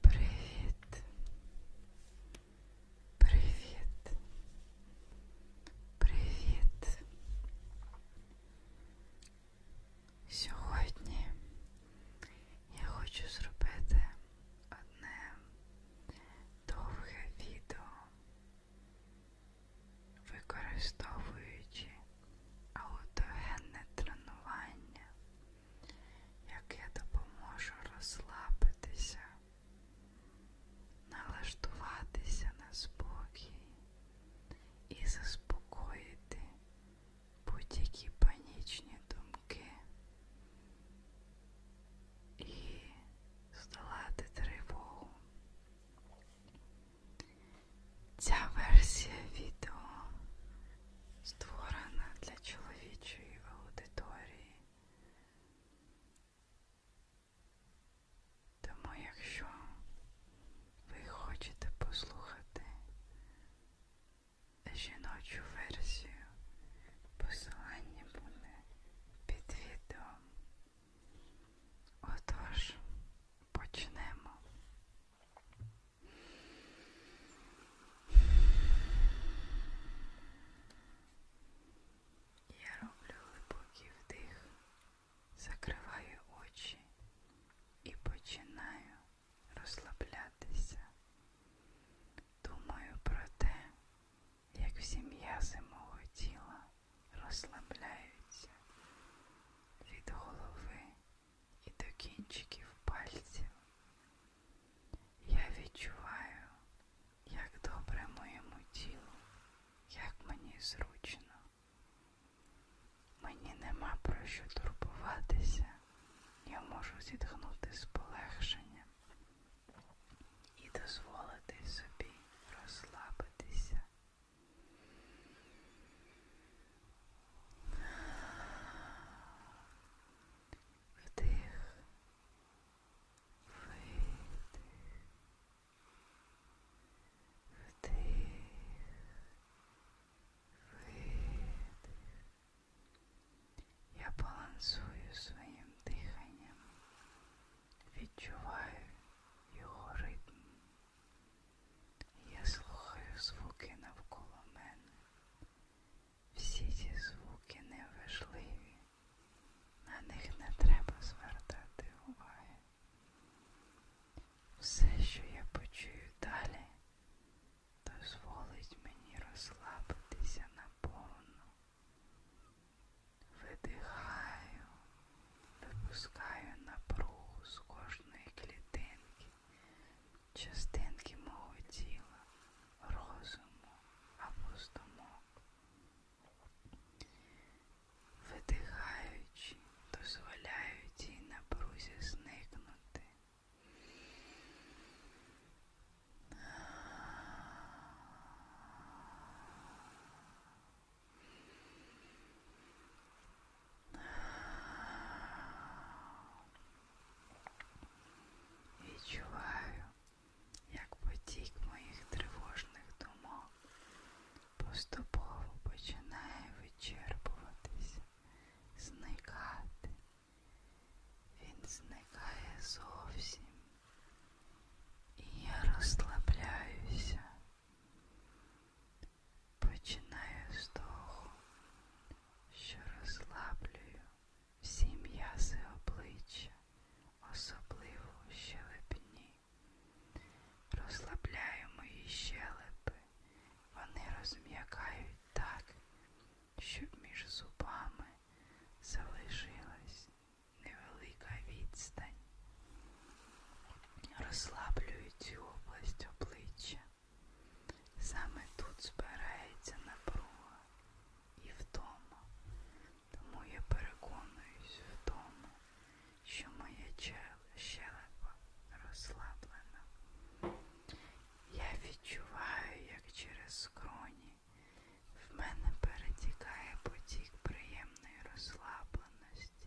Привіт. Привіт. Привіт. Сьогодні я хочу зробити одне довге відео, використовуючи аутогенне тренування яке допоможе розслабитися, налаштуватися на спокій і заспокоїти будь-які панічні думки і здолати тривогу. Ця версія відео створена для чоловічої аудиторії. Тому, якщо ви хочете послухати жіночу версію, посилання буде під відео. Отож, почнемо. Я роблю глибокий вдих, закриваю очі і починаю розслаблятися. Думаю про те, як всі м'язи мого тіла розслабляються від голови і до кінчиків пальців. Я відчуваю, як добре моєму тілу, як мені зручно. Мені нема про що турбуватися, я можу зітхнути з полегшенням і дозволити собі розслабитися. Вдих. Видих. Вдих. Видих. Я балансую своїм диханням. Відчуваю його ритм. Я слухаю звуки навколо мене. Всі ці звуки неважливі, на них не треба звертати уваги. Все, що я почую далі, дозволить мені розслабитися наповну. Видихаю, випускаю напругу з кожної клітинки, частинки мого тіла, розуму або здумок. Видихаючи, дозволяю цій напрузі зникнути. Відчуваю, як потік моїх тривожних думок поступово починає вичерпуватися, зникати. Він зникає зовсім. І я розслабляюся, починаю з того, що розслаблюю всі м'язи обличчя, особливо щелепні. Розслабляю мої щелепи, вони розм'якають так, щоб між зубами залишилась невелика відстань. Розслаблюю цю область обличчя. Саме тут збирається напруга і втома, тому я переконуюсь в тому, що моя щелепа розслаблена. Я відчуваю, як через скроні в мене перетікає потік приємної розслабленості,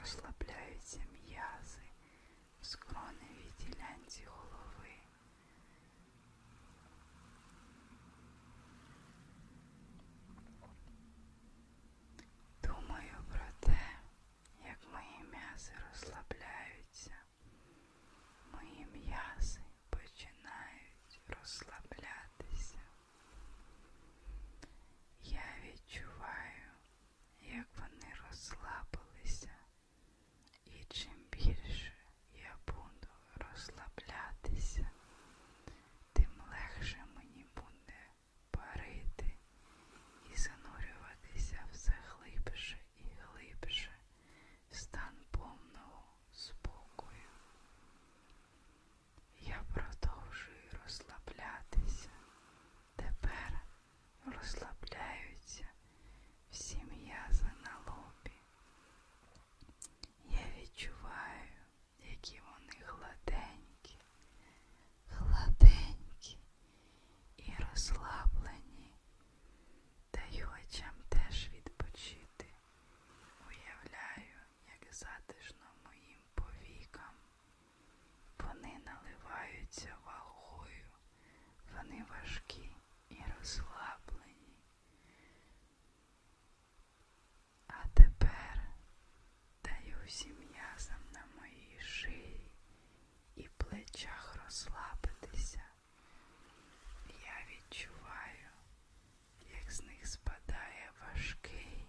розслабляються м'язи, скроневій ділянці голови. Думаю про те, як мої м'язи розслабляються. Мої м'язи починають розслаблятися. Я відчуваю, як вони розслабилися і чим більше я буду розслаблятися, тим легше мені буде парити і занурюватися все глибше і глибше в стан повного спокою. Я продовжую розслаблятися. Тепер розслабляються всі м'язи на лобі. Я відчуваю, які вони гладенькі, гладенькі і розслаблені, даю очам теж відпочити. Уявляю, як затишно моїм повікам. Вони наливаються вагою. Вони важкі і розслаблені. А тепер даю всім м'язам на моїй шиї і плечах розслабитися. Я відчуваю, як з них спадає важкий,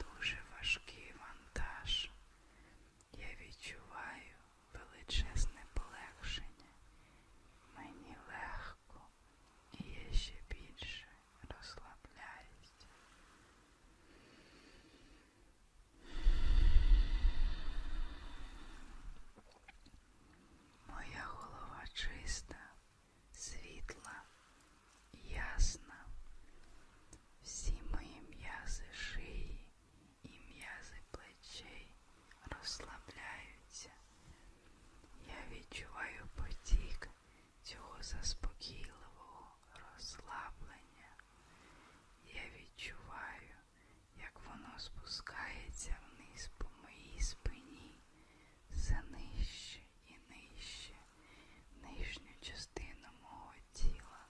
дуже важкий вантаж. Я відчуваю величезне полегшення. Мені легко і я ще більше розслабляюсь. Моя голова чиста, світла, ясна. Всі мої м'язи шиї і м'язи плечей розслабляються. Я відчуваю потік цього заспокійливого розслаблення. Я відчуваю, як воно спускається вниз по моїй спині, все нижче і нижче, нижню частину мого тіла.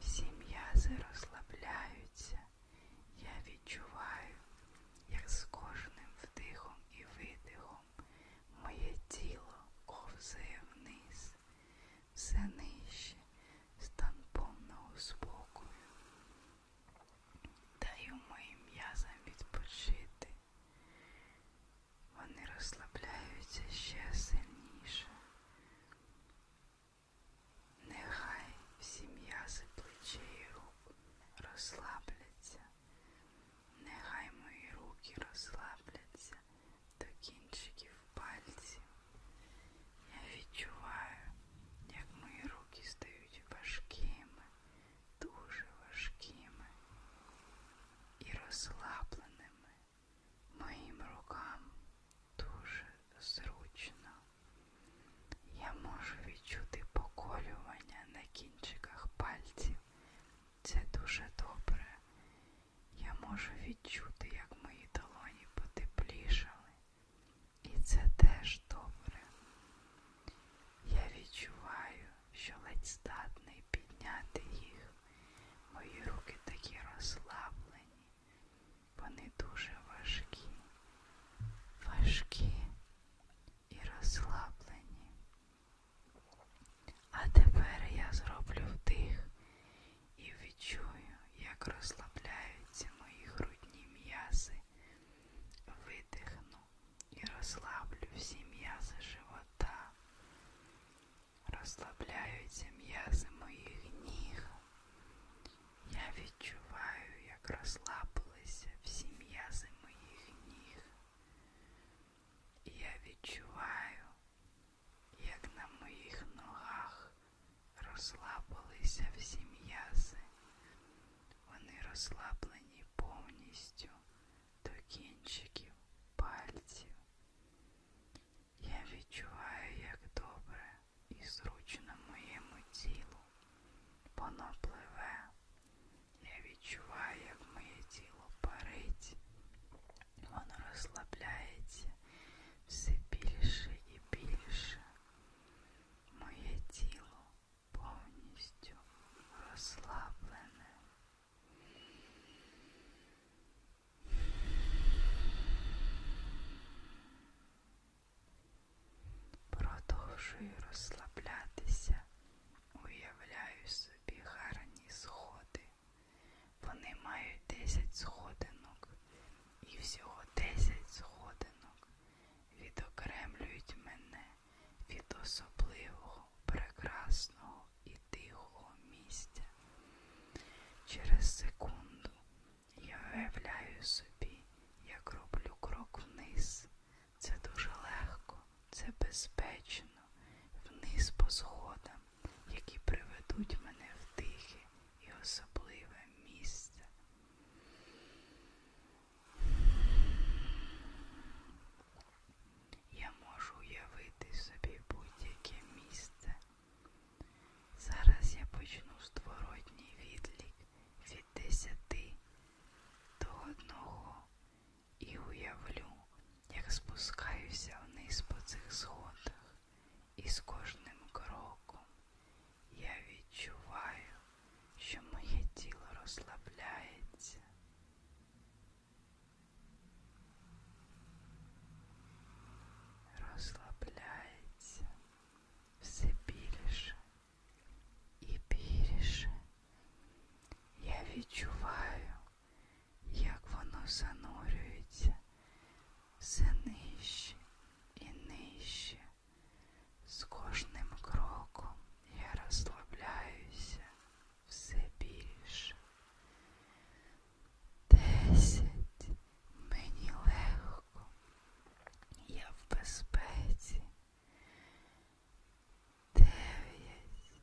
Всі м'язи розслабляються. Я відчуваю, як з кожним вдихом і видихом моє тіло ковзає вниз, все нижче, стан повного спокою. Даю моїм м'язам відпочити. Вони розслабляються ще сильніше. Нехай всі м'язи плечей і рук розслабляться, нехай мої руки розслабляться до кінчиків пальців. Я відчуваю, як мої руки стають важкими, дуже важкими і розслабленими моїм рукам дуже зручно. Я можу відчути поколювання на кінчиках пальців. Це дуже добре. Я можу відчути, як мої долоні потеплішали. І це теж добре. Я відчуваю, що ледь здатний підняти їх. Мої руки такі розслаблені, вони дуже важкі, важкі і розслаблені. А тепер я зроблю вдих і відчую, як розслабляються мої грудні м'язи. Видихну і розслаблю всі м'язи живота. Розслабляються м'язи моїх ніг. Я відчуваю, як розслабилися всі м'язи моїх ніг. І я відчуваю, як на моїх ногах розслабилися всі м'язи. Вони розслаблені повністю до кінчиків пальців. Я відчуваю, як добре і зручно моєму тілу. Воно пливе. Я відчуваю, як моє тіло парить. Воно розслабляється все більше і більше. Моє тіло повністю розслаблене. Продовжую розслаблятися, уявляю собі гарні сходи. Вони мають 10 сходинок і всього 10 сходинок відокремлюють мене від особливого, прекрасного і тихого місця. Через секунду я уявляю собі, як роблю крок вниз. Це дуже легко, це безпечно, вниз по сходам, які приведуть мене в тихе і особливе місце. Я можу уявити собі будь-яке місце. Зараз я почну створотній відлік від десяти до одного і уявлю, як спускаюся вниз по цих сходах, і з кожним кроком я відчуваю, що моє тіло розслабляється. Розслабляється все більше і більше. Я відчуваю, як воно занурюється все нижче і нижче. З кожним кроком я розслабляюся все більше. Десять. Мені легко, я в безпеці. Дев'ять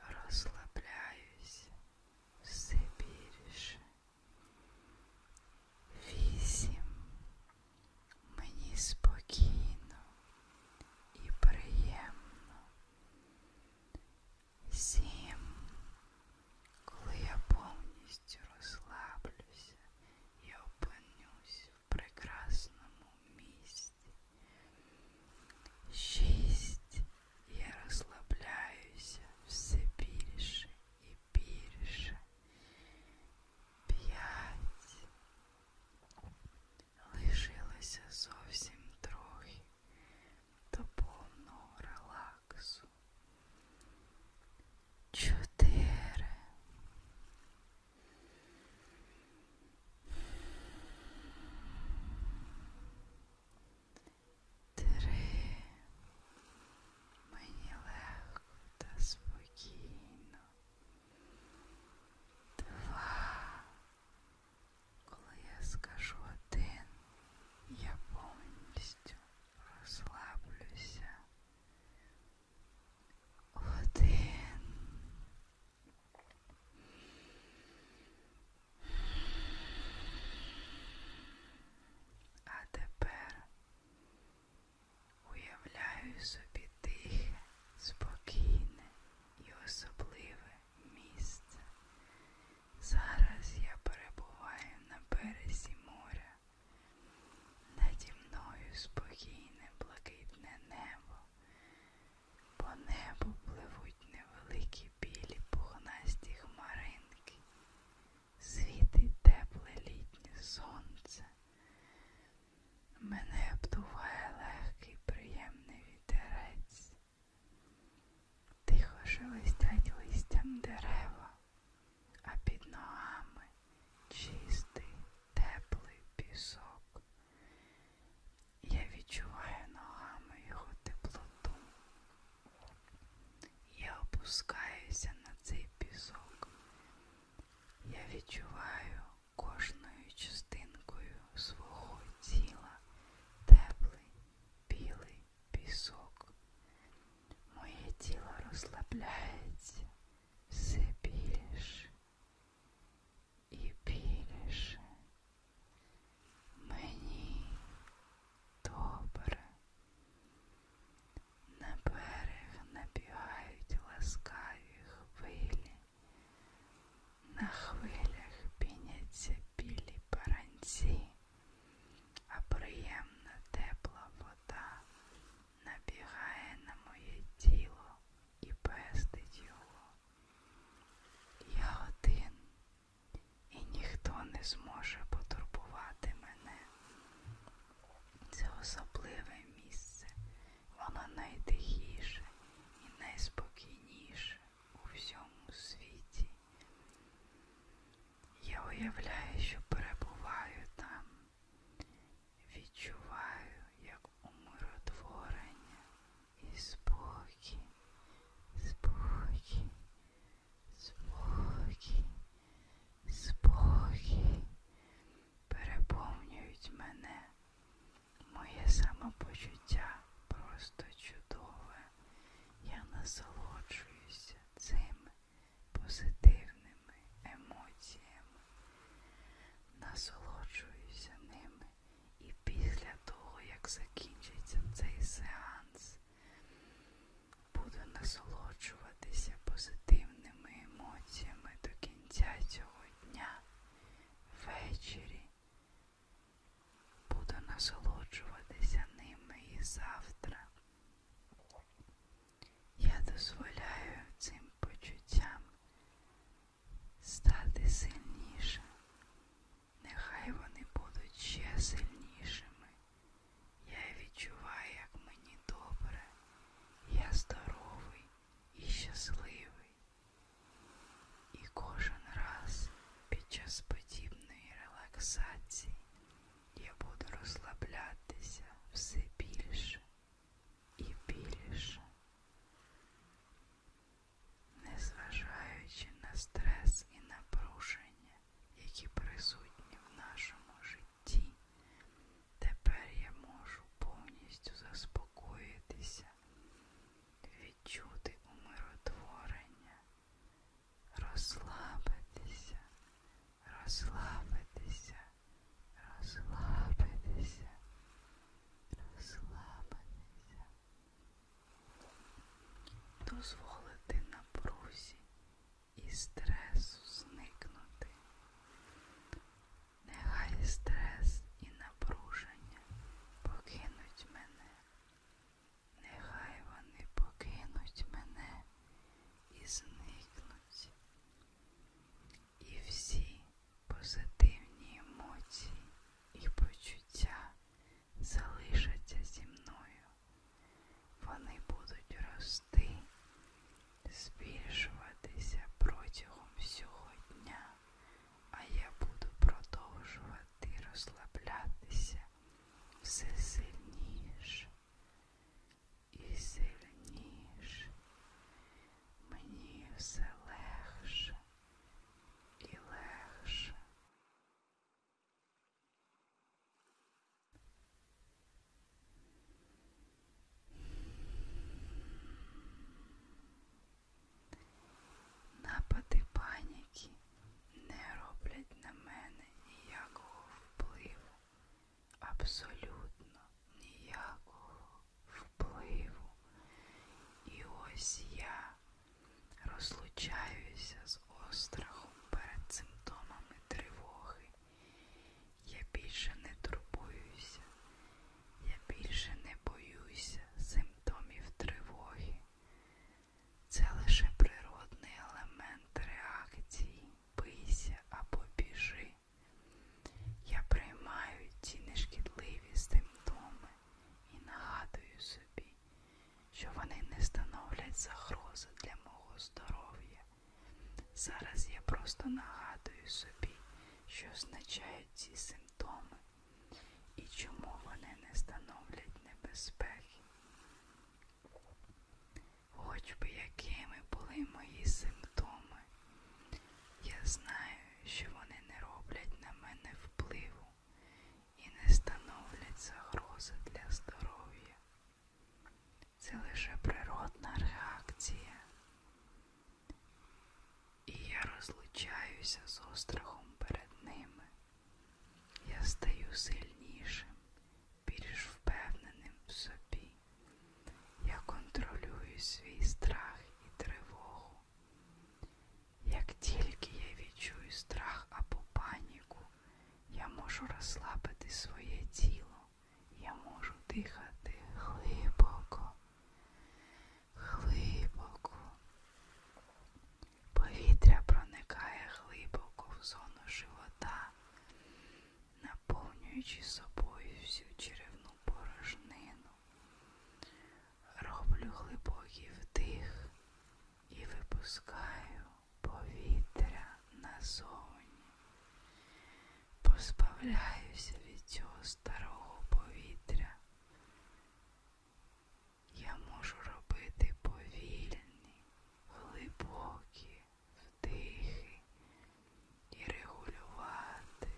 розслабляюся все більше. Вісім мені спокійно і приємно. Сім коли я повністю розслаблюся і опинюсь в прекрасному місці. Шість я розслабляюся все більше і більше. П'ять лишилося зовсім трохи до повного релаксу чотири. Три. Мені легко та спокійно. Два. Коли я скажу один, я повністю розслаблюся. Один. А тепер уявляю собі тихе, спокійне і особливе місце. Зараз я перебуваю на березі моря. Наді мною спокійне блакитне небо. По небу пливуть невеликі білі пухнасті хмаринки, світить тепле літнє сонце. Мене обдуває легкий, приємний вітерець. Тихо шелестять листям дерева, а під ногами чистий, теплий пісок. Я відчуваю ногами його теплоту. Я опускаюся на цей пісок. Я відчуваю кожною частинкою свого тіла теплий білий пісок. Моє тіло розслабляється все більше і більше. Мені добре. На берег набігають ласкаві хвилі. На хвилях піняться білі баранці а приємна тепла вода набігає на моє тіло і пестить його. Я один, і ніхто не зможе потурбувати мене. Це особливе місце, воно найтихіше і найспокійніше у всьому світі. Я уявляю, що перебуваю там, відчуваю, як умиротворення і спокій, спокій, спокій, спокій переповнюють мене, моє самопочуття просто чудове. Я насолоджуюся цим позитивними емоціями, насолоджуюся ними і після того, як закінчиться цей сеанс, буду насолоджуватися позитивними емоціями до кінця цього дня ввечері. Буду насолоджуватися ними і завтра. Я дозволяю цим почуттям стати сильнішим. Нехай вони будуть ще сильнішими. Я відчуваю, як мені добре, я здоровий і щасливий. І кожен раз під час подібної релаксації я буду розслаблятися все більше і більше, незважаючи на стрес і напруження, які присутні в нашому житті, тепер я можу повністю заспокоїтися, відчути умиротворення, розслабитися розслабитися, розслабитися, розслабитися, дозволити напрузі і стресу зникнути. Нехай стрес і напруження покинуть мене. Нехай вони покинуть мене і зникнуть. І всі позитивні емоції і почуття залишаться зі мною. Вони будуть рости, збільшуватися протягом всього дня, а я буду продовжувати розслаблятися все сильніше і сильніш, мені все легше і легше. Напади паніки не роблять на мене ніякого впливу абсолютно ніякого впливу. І ось я розлучаюся з острахом перед симптомами тривоги. Я більше не турбуюся, я більше не боюся симптомів тривоги. Це лише природний елемент реакції бийся або біжи. Я приймаю ці нешкідливі симптоми і нагадую собі, що вони не становлять загрози для мого здоров'я. Зараз я просто нагадую собі, що означають ці симптоми і чому вони не становлять небезпеки хоч би якими були мої симптоми. Я знаю, що вони не роблять на мене впливу і не становлять загрози для здоров'я. Це лише природна реакція. І я розлучаюся з острахом перед ними. Я стаю сильнішим більш впевненим в собі. Я контролюю свій страх і тривогу. Як тільки я відчую страх або паніку, я можу розслабити своє тіло, я можу дихати глибоко, глибоко. Повітря проникає глибоко в зону живота наповнюючи собою всю черевну порожнину, роблю глибокий вдих і випускаю повітря назовні, позбавляюся від цього старого повітря. Я можу робити повільні, глибокі, вдихи і регулювати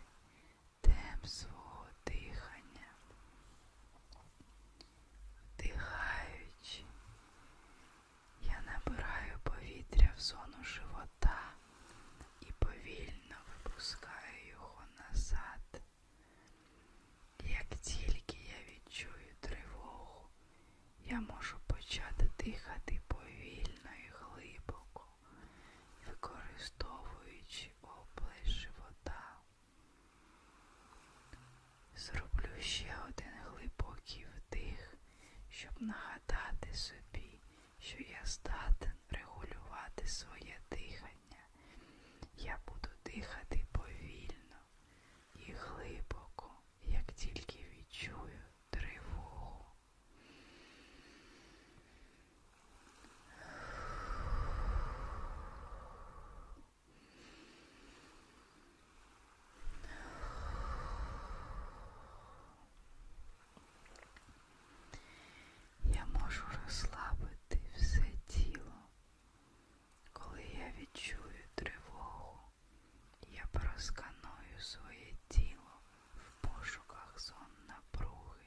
темп свого дихання, вдихаючи, я набираю повітря в зону живота і повільно випускаю його назад. Як тільки я відчую тривогу я можу почати дихати повільно і глибоко, використовуючи область живота. Зроблю ще один глибокий вдих, щоб нагадати собі, що я здатен регулювати своє дихання. Я буду дихати повільно і глибоко, як тільки відчую тривогу. Я можу розслабити все тіло, коли я відчую тривогу. Я просканую своє тіло в пошуках сон напруги.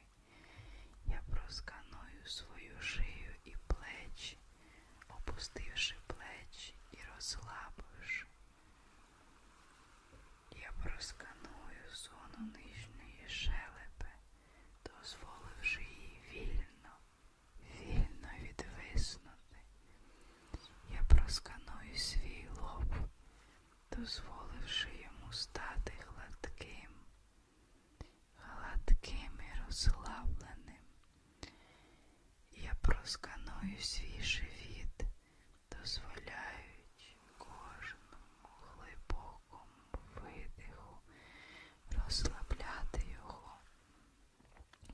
Я просканую свою шию і плечі, опустивши плечі і розслабивши. Я просканую зону нижньої шелепи, дозволивши їй вільно, вільно відвиснути. Я просканую свій лоб, дозволивши йому стати гладким, гладким і розслабленим. Я просканую свій живіт, дозволяючи кожному глибокому видиху розслабляти його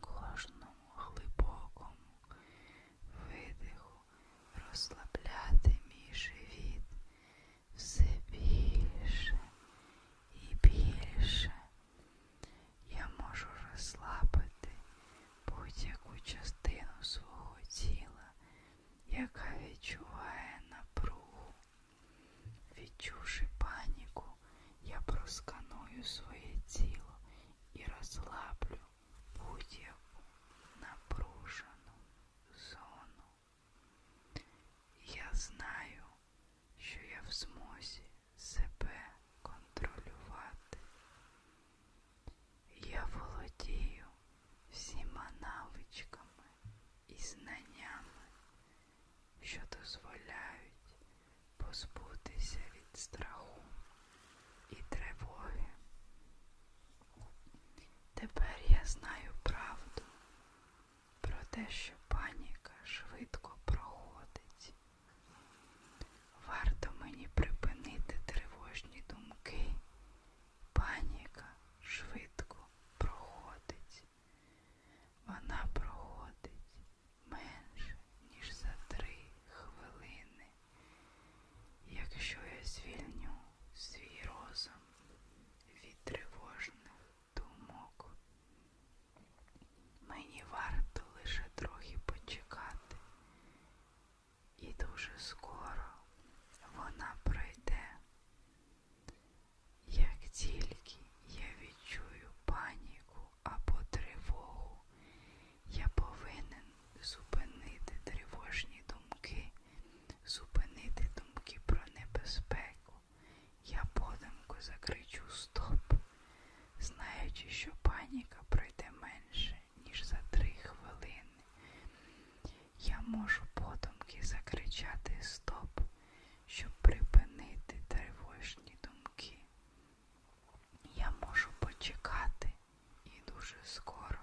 кожному глибокому видиху розслабляти мій живіт все більше і більше. Я можу розслабити будь-яку частину свого тіла, яка відчуває напругу. Відчувши паніку, я просканую своє тіло і розслаблю будь-яку напружену зону. Я знаю, що я в змозі себе контролювати. Я володію всіма навичками і знаннями, що дозволяють позбутися від страху і тривоги. Тепер я знаю правду про те, що паніка швидко проходить. Варто мені припинити тривожні думки. Паніка швидко проходить. Вона проходить менше ніж за три хвилини, якщо я звільню свій розум від тривожних думок. Мені варто лише трохи почекати, і дуже скоро вона пройде. Як тільки я відчую паніку або тривогу. Я повинен зупинити тривожні думки, зупинити думки про небезпеку. Я подумку закричу стоп, знаючи, що паніка пройде менше, ніж за три хвилини. Я можу подумки закричати стоп, щоб припинити тривожні думки. Я можу почекати і дуже скоро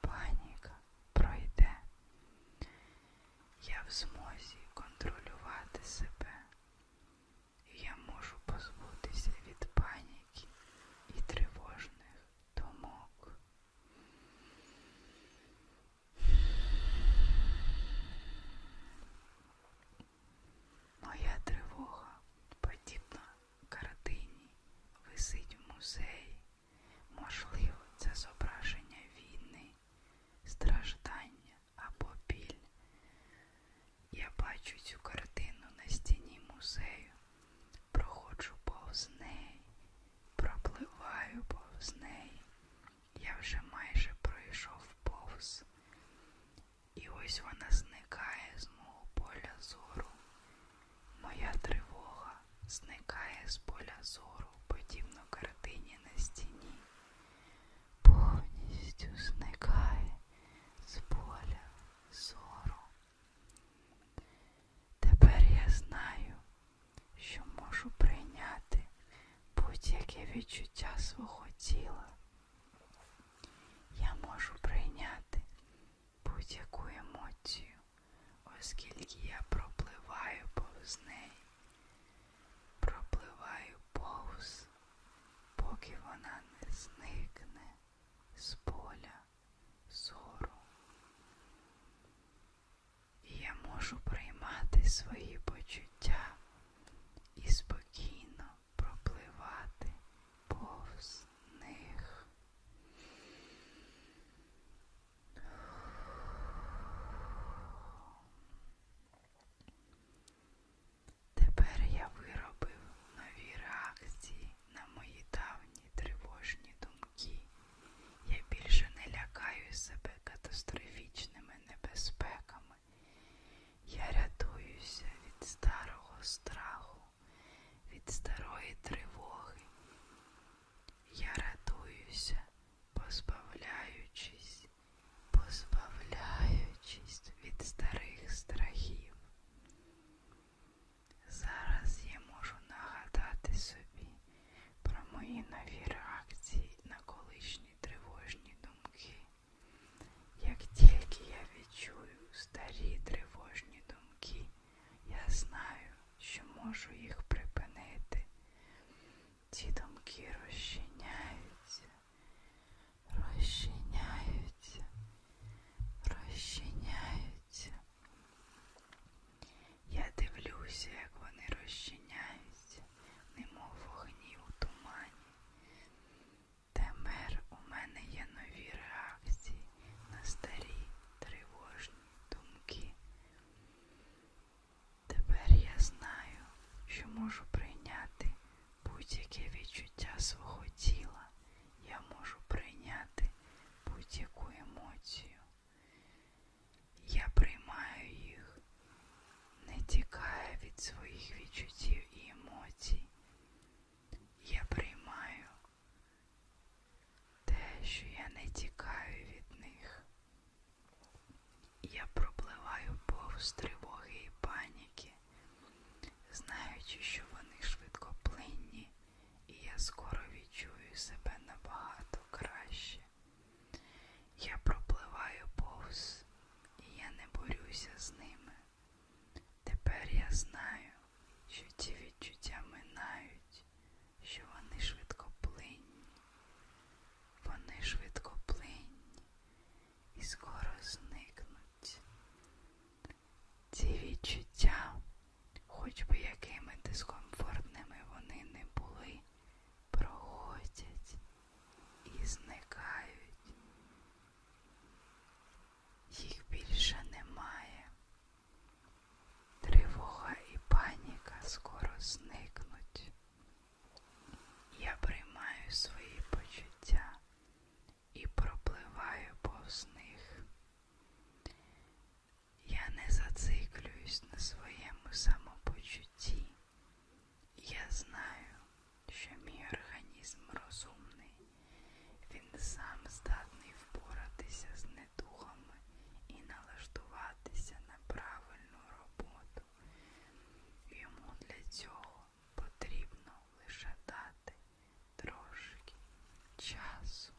паніка пройде. Я в змозі контролювати себе. Я можу позбутися від паніки і тривожних думок. Моя тривога подібна картині висить в музеї. Можливо, це зображення війни, страждання або біль. Я бачу цю картину на стіні музею, проходжу повз неї, пропливаю повз неї. Я вже майже пройшов повз. І ось вона зникає з мого поля зору. Моя тривога зникає з поля зору, подібно картині на стіні. Повністю зникає з поля зору. Тепер я знаю, що можу прийняти будь-яке відчуття свого тіла. Я можу прийняти будь-яку емоцію, оскільки я пропливаю повз неї, пропливаю повз, поки вона не зникне з поля зору. І я можу приймати свої почуття і спокійно пропливати повз них. Тепер я виробив нові реакції на мої давні тривожні думки. Я більше не лякаю себе катастрофічними небезпеками. Я рятуюся від старого страху від старої тривоги. Я радуюся, позбавляючись, позбавляючись від старих страхів. Зараз я можу нагадати собі про мої нові реакції на колишні тривожні думки, як тільки я відчую старі тривожні думки, я знаю, що можу їх припинити. Ці думки розчиняються, розчиняються, розчиняються. Я дивлюся, як вони розчиняються, немов вогні у тумані. Темер у мене є нові реакції на старі тривожні думки. Тепер я знаю, що можу прийняти будь-яке відчуття свого тіла. Я можу прийняти будь-яку емоцію. Я приймаю їх, не тікаю від своїх відчуттів і емоцій. Я приймаю те, що я не тікаю від них. Я пропливаю повз тривоги і паніки, знаючи, що вони швидкоплинні, і я скоро відчую себе набагато краще. Я пропливаю повз, і я не борюся з ними. Тепер я знаю, що ті відчуття минають, що вони швидкоплинні, вони швидкоплинні і скоро зникнуть. Ці відчуття, хоч би якими дискомфортними вони не були, проходять і зникають їх більше немає. Тривога і паніка скоро зникнуть. Я приймаю свої почуття і пропливаю повз них. Я не зациклююсь на своєму самопочутті. Я знаю, що мій організм розумний. Він сам здатний впоратися з недухами і налаштуватися на правильну роботу. Йому для цього потрібно лише дати трошки часу.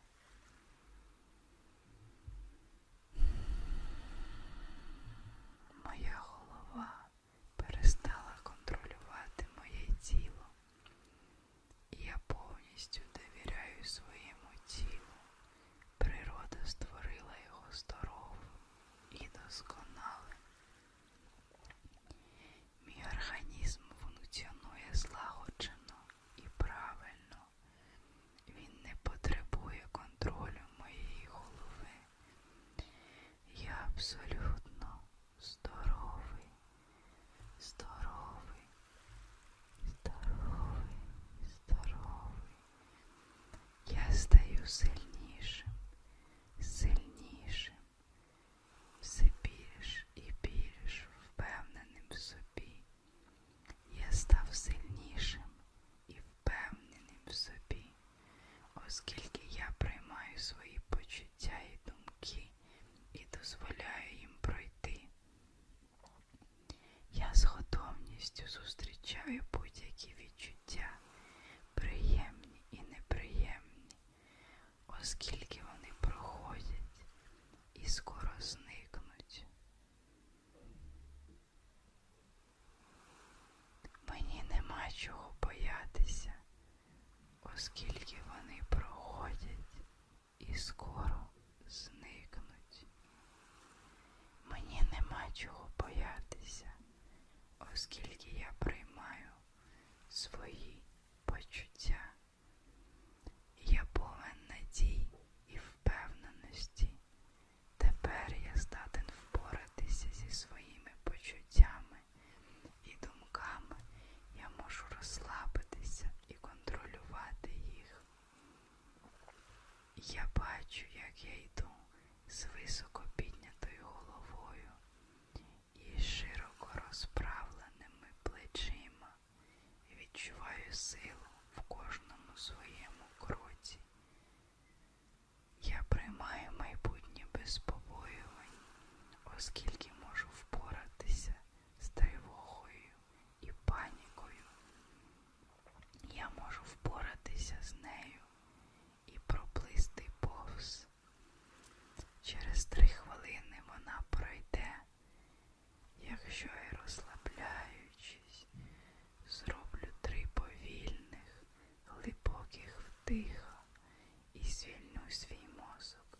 Моя голова перестала контролювати моє тіло. Я повністю довіряю своєму тілу. Природа створила його здоровим і досконалим. Мій організм функціонує злагоджено і правильно. Він не потребує контролю моєї голови. Я абсолютно здоровий, здоровий, здоровий, здоровий. Я стаю сильнішим, сильнішим, все більш і більш впевненим в собі. Я став сильнішим і впевненим в собі, оскільки я приймаю свої почуття і думки і дозволяю їм пройти. Я з готовністю зустрічаю будь-які відчуття, приємні і неприємні, оскільки вони проходять і скоро зникнуть. Мені нема чого боятися, оскільки вони проходять і скоро зникнуть. Мені нема чого боятися, оскільки я приймаю свої почуття. Я повинен надій і впевненості. Тепер я здатен впоратися зі своїми почуттями і думками я можу розслабитися і контролювати їх. Я бачу, як я йду з високо піднятою головою і широко розправленими плечима і відчуваю силу в кожному своєму кроці. Я приймаю майбутнє без побоювань, оскільки можу впоратися з тривогою і панікою. Я можу впоратися з нею і проплисти повз. Через три хвилини вона пройде, якщо я розслабляючись, зроблю три повільних, глибоких вдиха і звільню свій мозок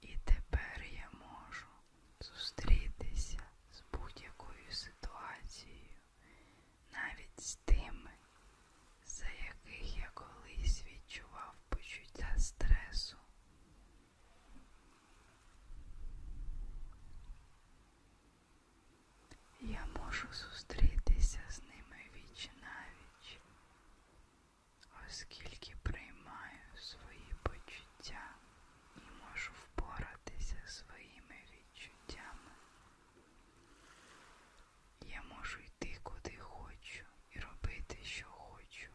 І тепер я можу зустрітися з будь-якою ситуацією, навіть з тими, за яких я колись відчував почуття стресу. Я можу зустрітися з ними віч навіч, оскільки приймаю свої почуття і можу впоратися своїми відчуттями. Я можу йти куди хочу і робити, що хочу,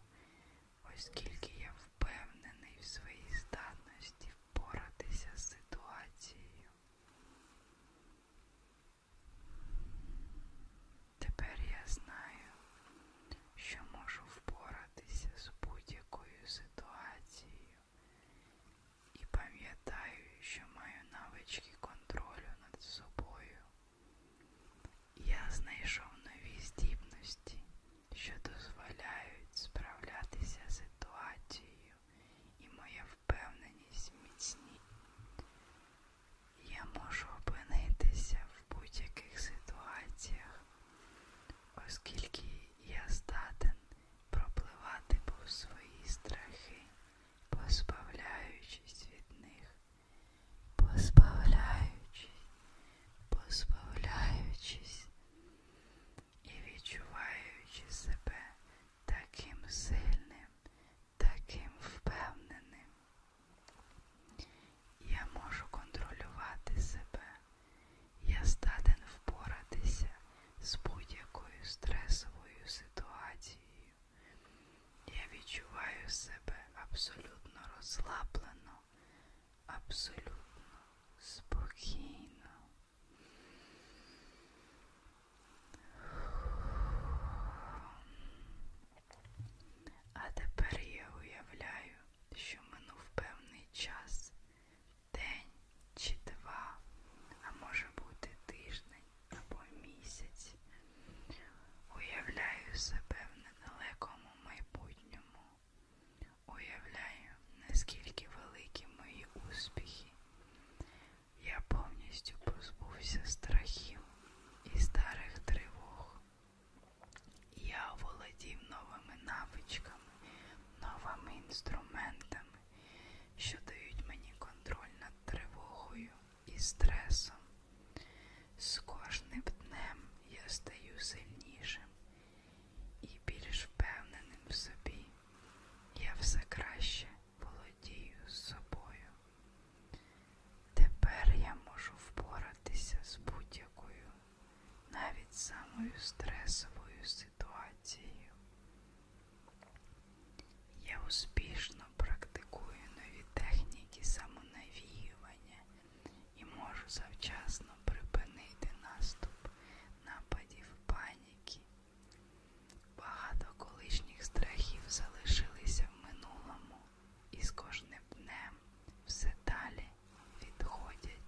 оскільки я впевнений в своїй здатності впоратися з ситуацією. Тепер я знаю, що можу впоратися з будь-якою ситуацією і пам'ятаю, що маю навички контролю над собою. Я знайшов нові здібності, що дозволяють справлятися з ситуацією, і моя впевненість міцні. Я можу опинитися в будь-яких ситуаціях, оскільки я здатен пропливати повз свої страхи, позбавляючись від них, позбавляючись, позбавляючись і відчуваючи себе таким сильним, таким впевненим. Я можу контролювати себе. Я здатен впоратися з будь-якою стресовою ситуацією. Я відчуваю себе абсолютно розслаблено, абсолютно спокійно. А тепер я уявляю, що минув певний час, день чи два, а може бути тиждень або місяць. Уявляю себе в недалекому майбутньому. Уявляю, наскільки великі мої успіхи. Я повністю позбувся страхів і старих тривог. Я володів новими навичками, новими інструментами, що дають мені контроль над тривогою і стресом. З кожним днем я стаю сильнішим і більш впевненим в собі. Я все краще володію собою. Тепер я можу впоратися з будь-якою навіть самою стресовою ситуацією. Я успішно практикую нові техніки самонавіювання і можу завчасно припинити наступ нападів паніки. Багато колишніх страхів залишилися в минулому і з кожним днем все далі відходять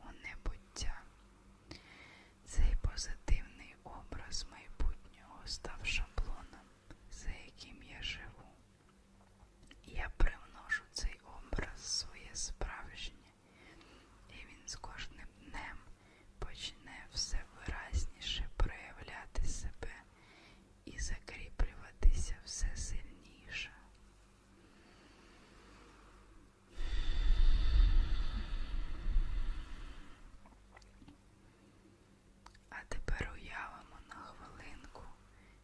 у небуття. Цей позитивний образ майбутнього став шаблоном, за яким я живу. Я привношу цей образ своє справжнє, і він з кожним днем почне все виразніше проявляти себе і закріплюватися все сильніше. А тепер уявимо на хвилинку,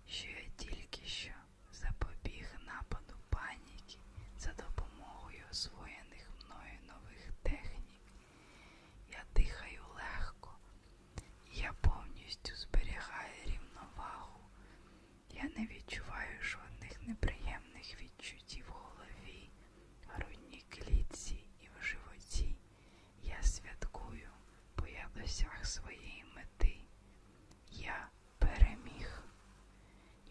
що я тільки що запобіг нападу паніки за допомогою освоєних мною нових технік. Я дихаю легко, я повністю зберігаю рівновагу, я не відчуваю жодних неприємних відчуттів в голові, грудній клітці і в животі. Я святкую, бо я досяг своєї мети. Я переміг.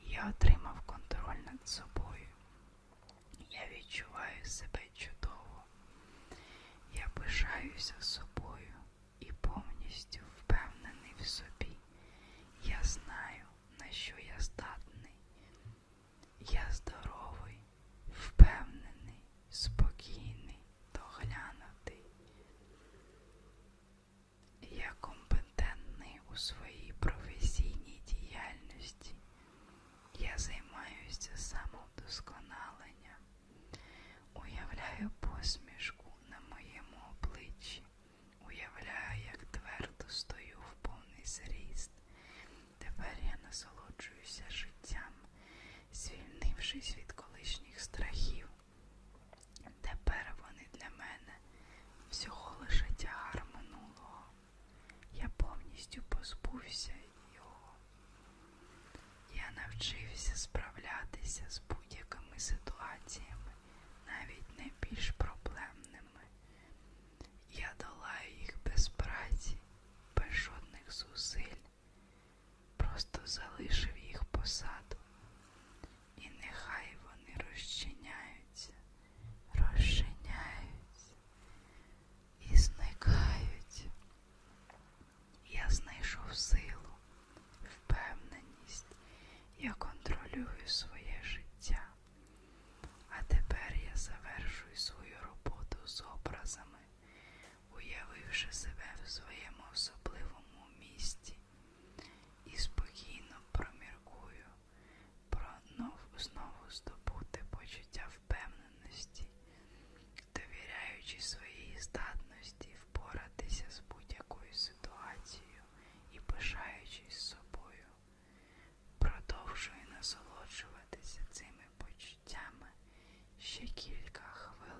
Я отримав контроль над собою. Я відчуваю себе чудово. Я пишаюся собою і повністю впевнений в собі. Я знаю, на що я здатний. Я здоровий, впевнений, спокійний, доглянутий. Я компетентний у своїй професійній діяльності. Я займаюся самовдосконаленням. Уявляю посмішку на моєму обличчі, уявляю, як твердо стою в повний зріст. Тепер я насолоджуюся життям, звільнившись від колишніх страхів. Тепер вони для мене всього лише тягар минулого. Я повністю позбувся його. Я навчився справлятися з будь-якими ситуаціями навіть найбільш проблемними. Я долаю їх без праці, без жодних зусиль, просто залишив їх посаду, і нехай вони розчиняються, розчиняються і зникають. Я знайшов силу впевненість, я контролюю своє життя. А тепер я завершую свою роботу з образами, уявивши себе в своєму особливому місті і спокійно проміркую про нов, знову здобути почуття впевненості, довіряючи своїй здатності впоратися з будь-якою ситуацією собою і пишаючись собою, продовжує насолоджуватися цими почуттями ще кілька хвилин.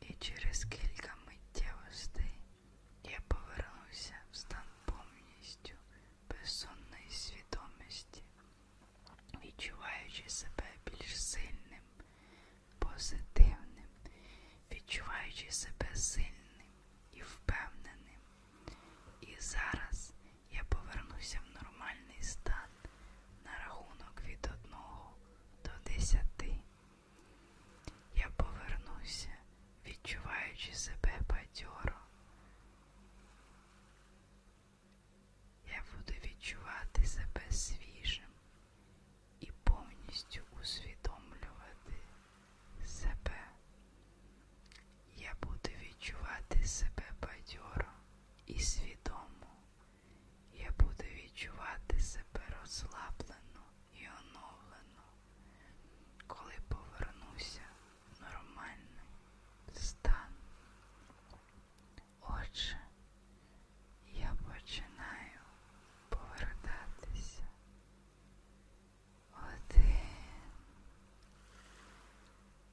І через кілька миттєвостей я повернувся в стан повністю безсонної свідомості, відчуваючи себе більш сильним, позитивним, відчуваючи себе сильним і впевненим. І зараз я повернуся в нормальний стан на рахунок від 1 до 10. Я повернуся, відчуваючи себе бадьоро. Я буду відчувати себе свіжим і повністю усвідомлювати себе. Я буду відчувати себе бадьоро і свідомо. Я буду відчувати себе розслаблено і оновлено, коли повернуся в нормальний стан. Отже, я починаю повертатися. Один,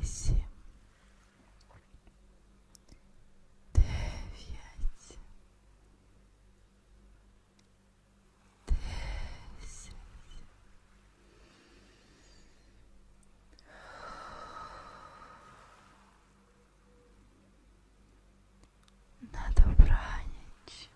вісім, дев'ять, десять. На добраніч.